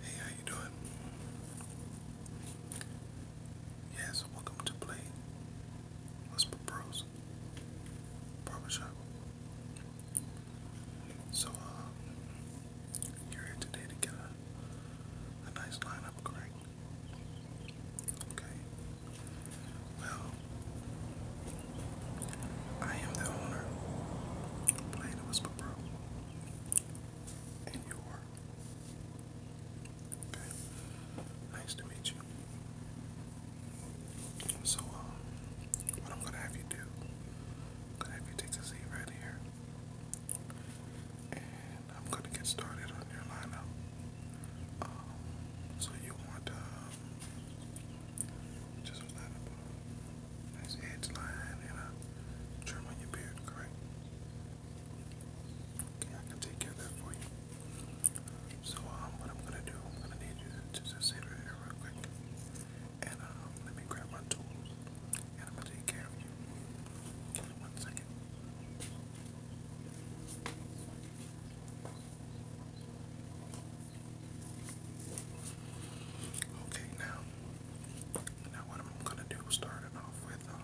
Hey, how you doing? Yes, welcome to play. Let's put bros. Barbershop. So, uh, you're here today to get a nice lineup, correct? Okay. Well, I am the owner. Play the whisper, bro. And you are. Nice to meet you. So, um, what I'm gonna have you do, gonna have you take a seat right here. And I'm gonna get started on your lineup. Um, so you want, um, just line up nice edge line and a uh, trim on your beard, correct? Okay, I can take care of that for you. So, um, what I'm gonna do, I'm gonna need you to just sit right here real quick. And, uh, let me grab my tools. And I'm gonna take care of you. Give me one second. Okay, now, now what I'm gonna do is starting off with, um,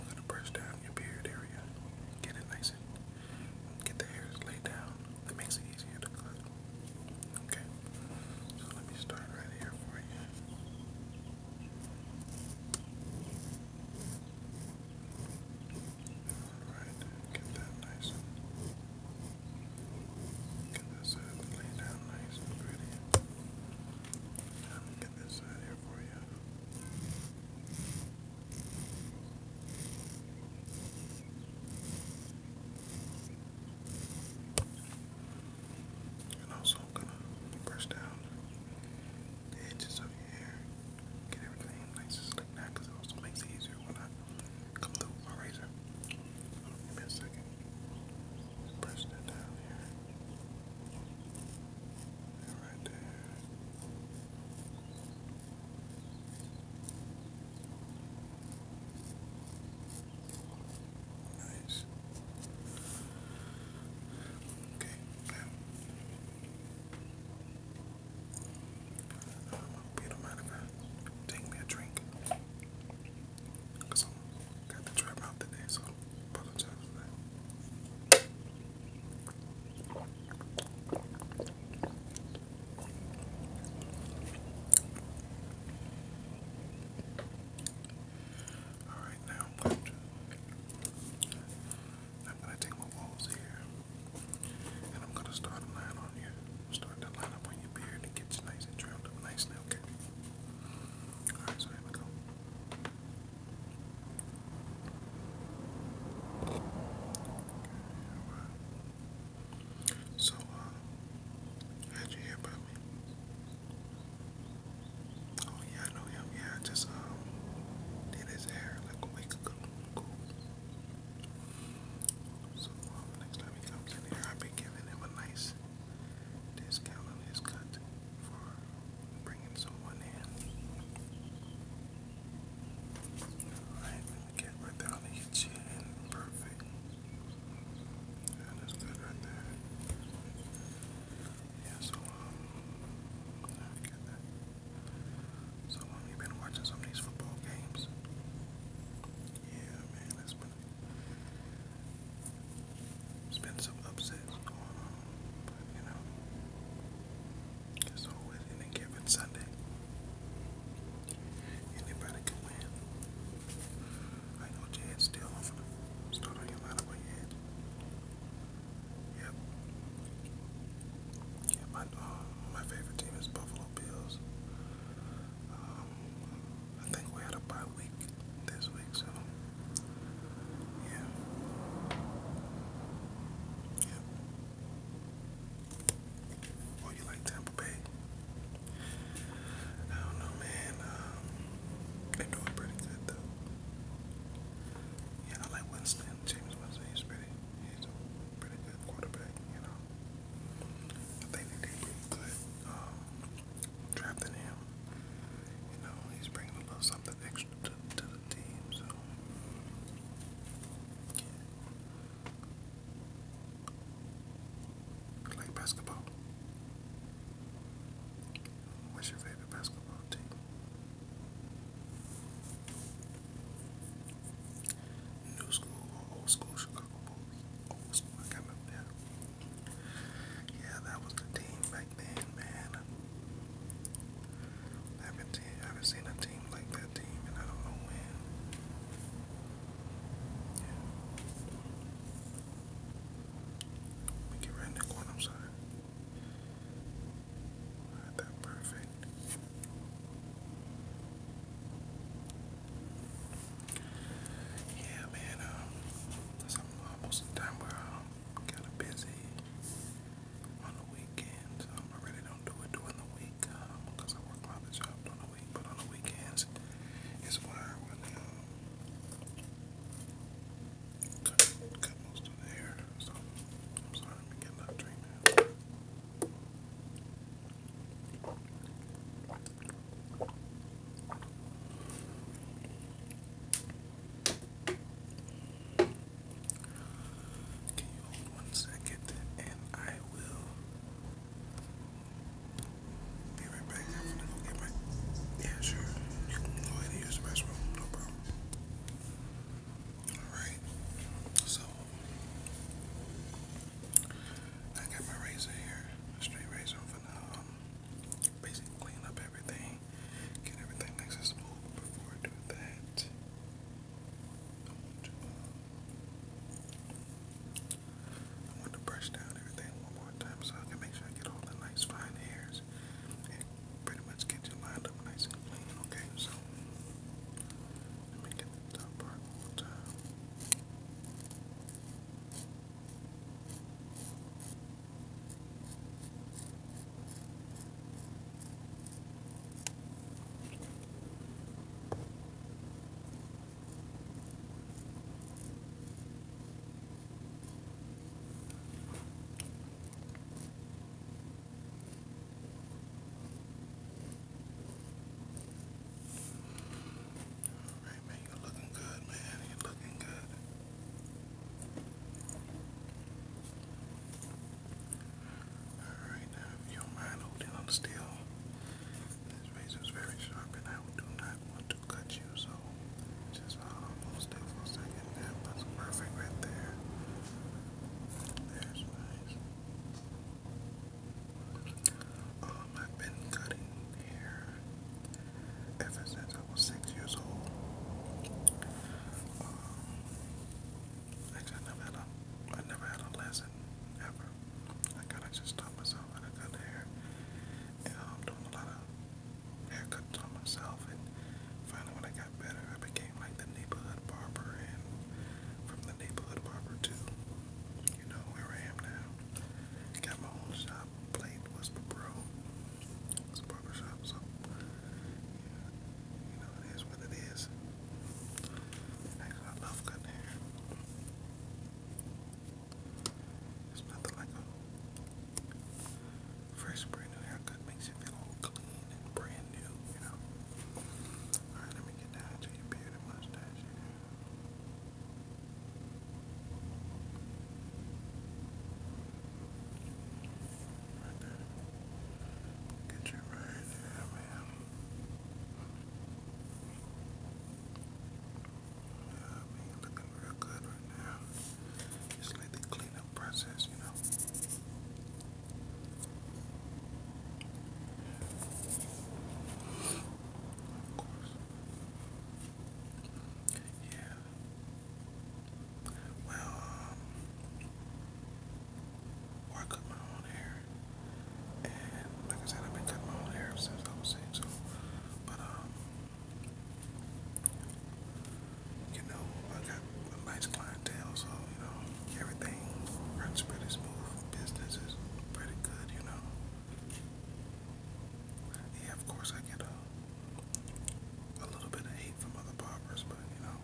I'm gonna brush down your beard area, get it nice and get the hairs laid down. That makes it easier to cut. Okay, so let me start right here for you. Alright, get that nice and get this side laid down nice and pretty. I'm gonna get this side here for you. And also gonna brush down edges of your hair, get everything nice and slick now because it also makes it easier when Come through razor. Give me a second. Press that down here. right there. Nice. Okay, now you don't mind if I take me a drink? Because I got the trap out today, so I apologize for that. Alright, now I'm going to. I'm going to take my walls here. And I'm gonna start a line on you. Start that line up on your beard. It gets nice and trimmed up nicely, okay? Alright, so So, uh, you hear about me? Oh yeah, I know him. Yeah, just um did his hair like a week ago. So um, next time he comes in here, I'll be giving him a nice discount on his cut for bringing someone in. Alright, let right there on the chin. Perfect. that's good right there. Yeah, so um, let get that. So long you been watching some of these football games. Yeah, man, it's been it's been some upsets going on, but you know, it's always any given Sunday. Anybody can win. I know Jed's still start on your lineup, but Yep. Yeah, my um, my favorite team is Buffalo Bills. Um, I think we had a bye week this week, so yeah. Yeah. Oh, you like Tampa Bay? I don't know, man. Um, they're doing pretty good though. Yeah, I like Winston. James Winston. He's pretty. He's a pretty quarterback, you know. I think they did pretty good um, drafting him. You know, he's bringing a little something extra to, to the team, so. Yeah. basketball. What's your favorite basketball team? New school or old school Chicago Bulls? Old school, I remember that. Yeah, that was the team back then, man. I haven't, seen a team like that team, and I don't know when. We get right in the corner, I'm sorry that perfect. Yeah, man. Um, so I'm time where I'm kind of busy on the weekends. Um, I really don't do it during the week um, I work my job during the week. But on the weekends, it's where I really cut, most of the hair. So I'm sorry I'm getting up drink can you hold one second and I will be right back. Yeah, sure. You can go ahead and use the restroom, no problem. Alright, so I got my razor here, straight razor for now. Um, basically clean up everything, get everything accessible. Before I do that, um, I want to, brush down everything one more time so I can make sure I get all the nice fine hairs and pretty much get your line it up nice and clean, okay? So, let me get the part all right, man, you're looking good, man. You're looking good. All right, now, if you mind holding on still, this razor is very sharp, and I do not want to cut you, so just hold still for a second. Yeah, perfect right there. There's my um, I've been cutting hair ever since I was six years old. Um, actually, I never had a, I never had a lesson ever. I kind of just taught myself how to cut hair, and I'm um, doing a lot of haircuts on myself. And finally, when I got better. I became like the neighborhood barber, and from the neighborhood barber to, you know, where I am now. got my own shop. Played was pro. It's a barber shop, so you know it is what it is. I love cutting hair. It's nothing like a fresh, brand new haircut. Makes should feel all clean and brand new, you know. Alright, let me get down to your beard and mustache Right there. Get you right there, man. Yeah, I mean, looking real good right now. Just let it clean process, you know. Yeah. Well, um, I cut my own hair, and like I said, I've been cutting my own hair since I was six. but um, you know, I got a nice clientele, so, you know, everything runs pretty smooth. Business is pretty good, you know. Yeah, of course, I get a, a little bit of hate from other barbers, but, you know,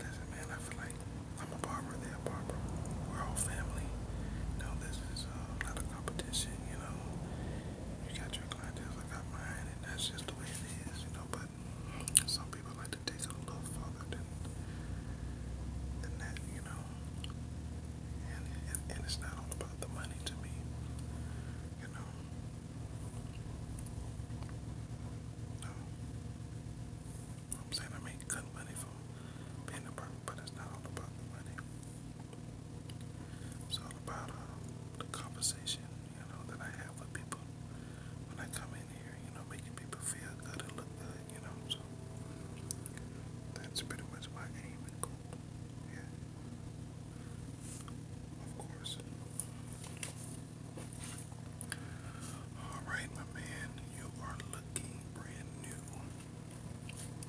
listen, man, I feel like I'm a barber, they're a barber. We're all family. No, this is uh, not a competition, you know. You got your clientele, I got mine, and that's just the way it is, you know. But some people like to taste it a little further than than that, you know. And and, it's not all about the money to me, you know. I'm saying I make good money from being a burger, but it's not all about the money. It's all about uh, the conversation, you know, that I have with people when I come in here, you know, making people feel good and look good, you know, so that's pretty much my aim Yeah. Of course. Alright, my man, you are looking brand new.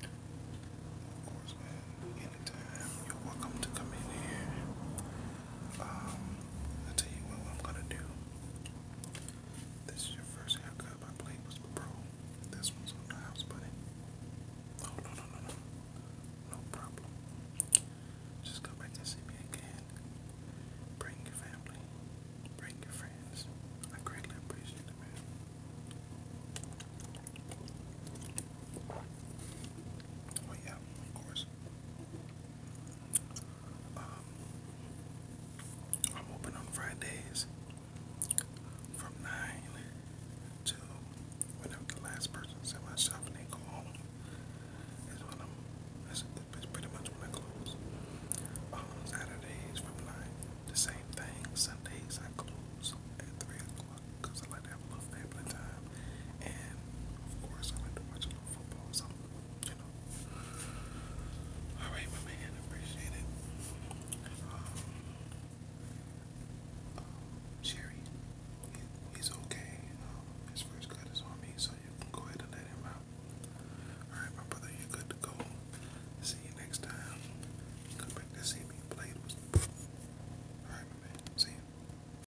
Of course, man, anytime you're welcome to come in here. Um, I'll tell you what I'm gonna do. This is your first haircut. My plate was the pro. This one's on the house, buddy. Oh no no no no. No problem. Just come back and see me again. Bring your family. Bring your friends. I greatly appreciate it, man. Oh yeah, of course. Um, I'm open on Fridays from 9 to whenever the last person set myself and they go home. Is when I'm, it's, pretty much when I close. On um, Saturdays from 9, the same thing. Sundays I close at 3 o'clock because I like have a little family time, and of course, I like to watch a little football, so you know. All right, my man, appreciate it. Um, um he's okay. Um, his first cut is on me, so you can go ahead and let him out. All right, my brother, you good to go. See you next time. Come back to see me. Blade All right, my man. See you.